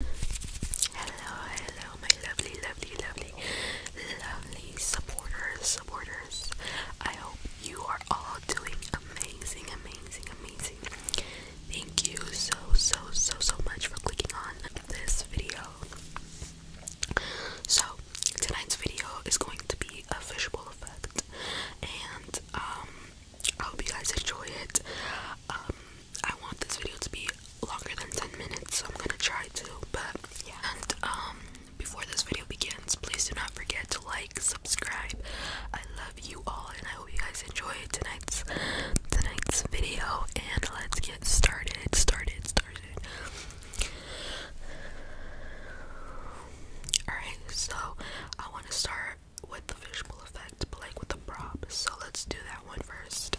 Hello, hello, my lovely, lovely, lovely, lovely supporters, supporters. I hope you are all doing amazing, amazing, amazing. Thank you so, so, so, so much for clicking on this video. So, tonight's video is going to be a fishbowl effect, and um, I hope you guys enjoy it. Um, I want this video to be longer than 10 minutes, so I'm gonna try to, but And um, before this video begins, please do not forget to like, subscribe. I love you all, and I hope you guys enjoyed tonight's tonight's video. And let's get started, started, started. Alright, so I want to start with the visual effect, but like with the prop. So let's do that one first.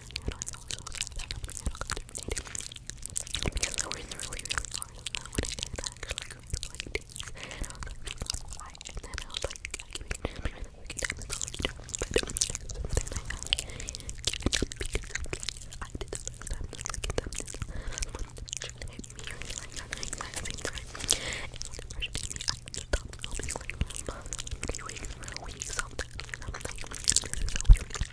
other channel. I also have that other channel called Terminator. Because I was really, really sorry on that one. And I actually grew up like this. And I was like, why? And then I was like, I can't even do it. I can't even do it. But something I have given up because I did the first time. I was like, it's up this one. Hit me or like at the exact same time. And when it first hit me, I stopped filming like a few weeks or a week something. And I'm like, this is so weird.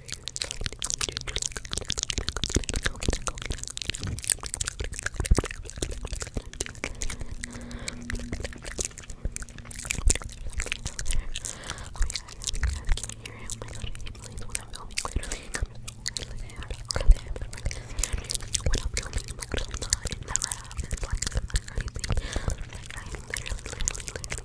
literally, literally, literally,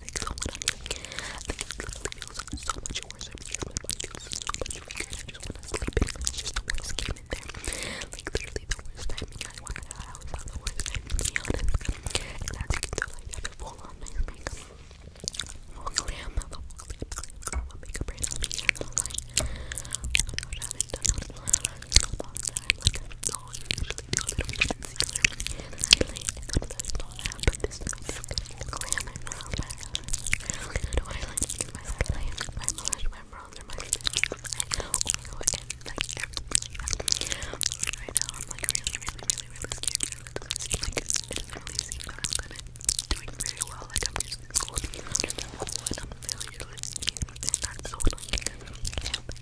Thank you so much. Thank you so much. so much worse. Because my body feels so much weaker. I just want to sleep in. It's just the worst game in there. Like literally the worst timing. I want to I always have the worst timing to be honest. And as you can tell, I have a full on nice makeup. Full glam, full glam, glam, glam. Makeup right now. I'm here. I'm like, oh my gosh, I haven't done that in a long time. Like, all usually do a little bit of concealer. And then I put those all out, but this is gonna glam it around my eyes. Do I like my slime, my blush, my bronzer, my lipstick? Oh my god, and like everything like that. Right now I'm like really, really, really, really scared. Like, it doesn't really seem that I'm gonna doing very well. Like I'm just going under the whole and I'm really, really scared. And that's so annoying because I can't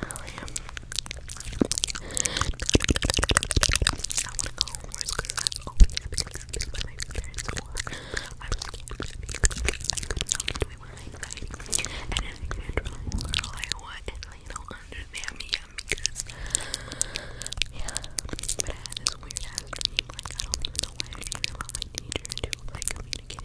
William. I want to go homework because I've always been confused by my parents' work. I was scared because I could not get away with my anxiety. And as a natural girl, I want and they don't understand me because, yeah. But I had this weird ass dream. Like, I don't even know why I dreamed about my teacher until, like, communication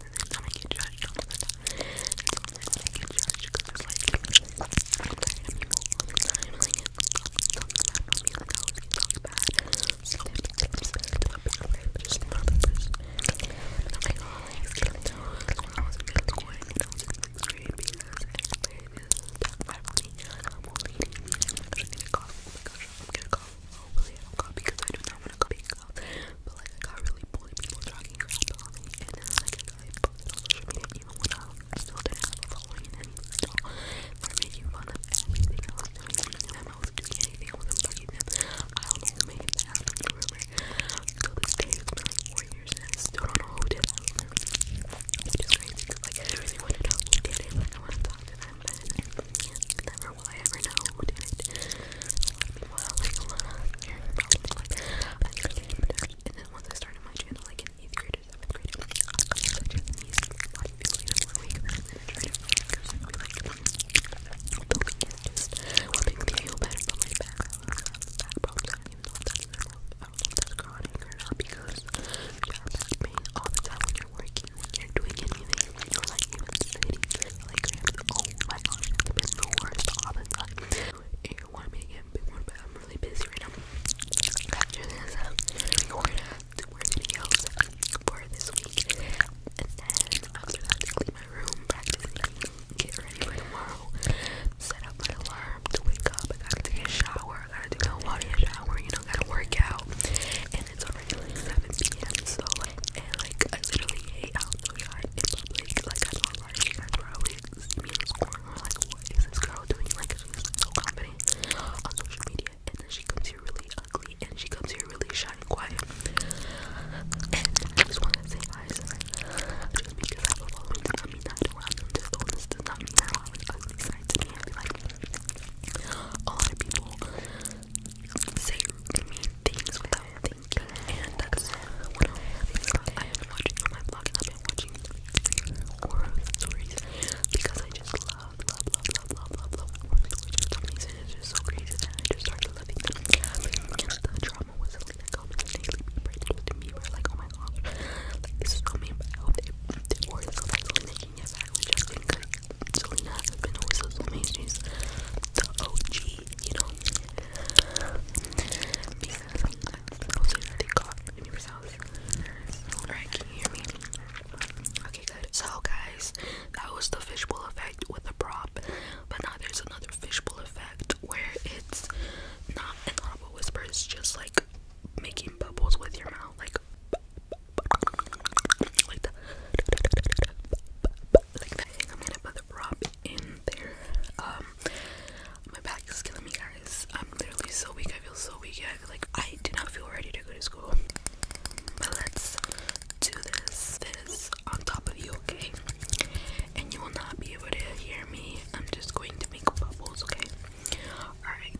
every time I get judged all the time. It's all that I get judged because it's like, I'm tired of people all the time. Like, something bad for me, like, I always get talked bad. So, I'm just not the person. And I'm like, oh, like, it's getting to when I was in middle school and I was in fifth grade because everybody is that bad for me. I'm only eating. I'm gonna cough. Oh my gosh, I'm gonna cough hopefully I don't call because I do not want to call people but like I got really bullied people talking about me and then like I posted on social media even when I still didn't have a following and anything so fun of everything I was doing when them I was doing anything I wasn't them I don't know who made it happen so this day four years and I don't know who did that rumor crazy because I really want to know who did like I want to talk to them but never will I ever know, And then once I started my channel, like, in 8th grade or 7th grade, I was like, Japanese, why do you feel even more weak? I tried to like, filming is just me feel better don't even know if that's, don't know if that's chronic or not because you have back when you're doing anything and you're like even sitting like oh my gosh, it's been the worst all the time. And you want me to get a bit more but I'm really busy right now. After this, we're gonna have two more videos for this week. And then after that to clean my room, practice get ready for tomorrow. Set up my alarm to wake up. I gotta take a shower. I gotta do my water shower, you know, gotta work out. And it's already like 7 p.m. So like like I literally hate how the yard in public. Like I don't like you guys were always see me in the corner like what is this girl doing? Like she's so confident on social media and then she comes here really ugly and she comes here really shy and quiet. And I just wanna say guys just because I have a following does not mean that I don't have to own does not mean that I do ugly side to me like a lot of people say things without thinking, and that's what I'm having. I am watching on my blog, and I've watching horror stories because I just love, love, love, love, love, love, horror stories It's just so crazy that I just started loving them. the drama was something that got me daily breakthrough to me, where like, oh my gosh, like this is so but I hope it back with Justin because Selena has been always so amazing. She's the OG, you know. Because also they got in your house. Alright, can you hear me? Okay, good. So guys, that was the fishbowl effect with the prop. But now there's another fishbowl effect where it's not an audible whisper, it's just like making bubbles with your mouth, like like that. I'm gonna put the prop in there. Um, my back is killing me, guys. I'm literally so weak. I feel so weak. I, like I do not feel ready to go to school. But let's do this. This on top of you, okay? And you will not be able to hear me. I'm just going to make bubbles, okay? All right.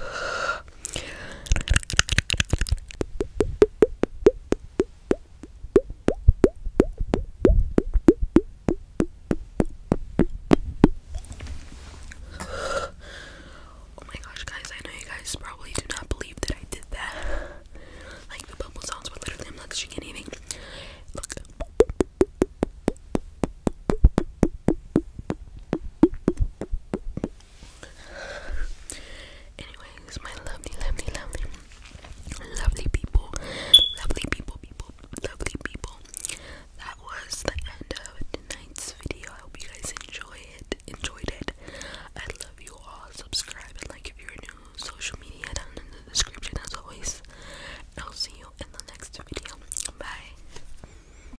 Oh my gosh, guys, I know you guys probably do not believe that I did that. Like the bubble sounds, but literally I'm not shaking anything. Look. Anyways, my lovely, lovely, lovely, lovely people, lovely people, people, lovely people. That was the end of tonight's video. I hope you guys enjoyed it, enjoyed it. I love you all. Subscribe and like if you're new. Social media down in the description as always. I'll see you in the next video. Bye.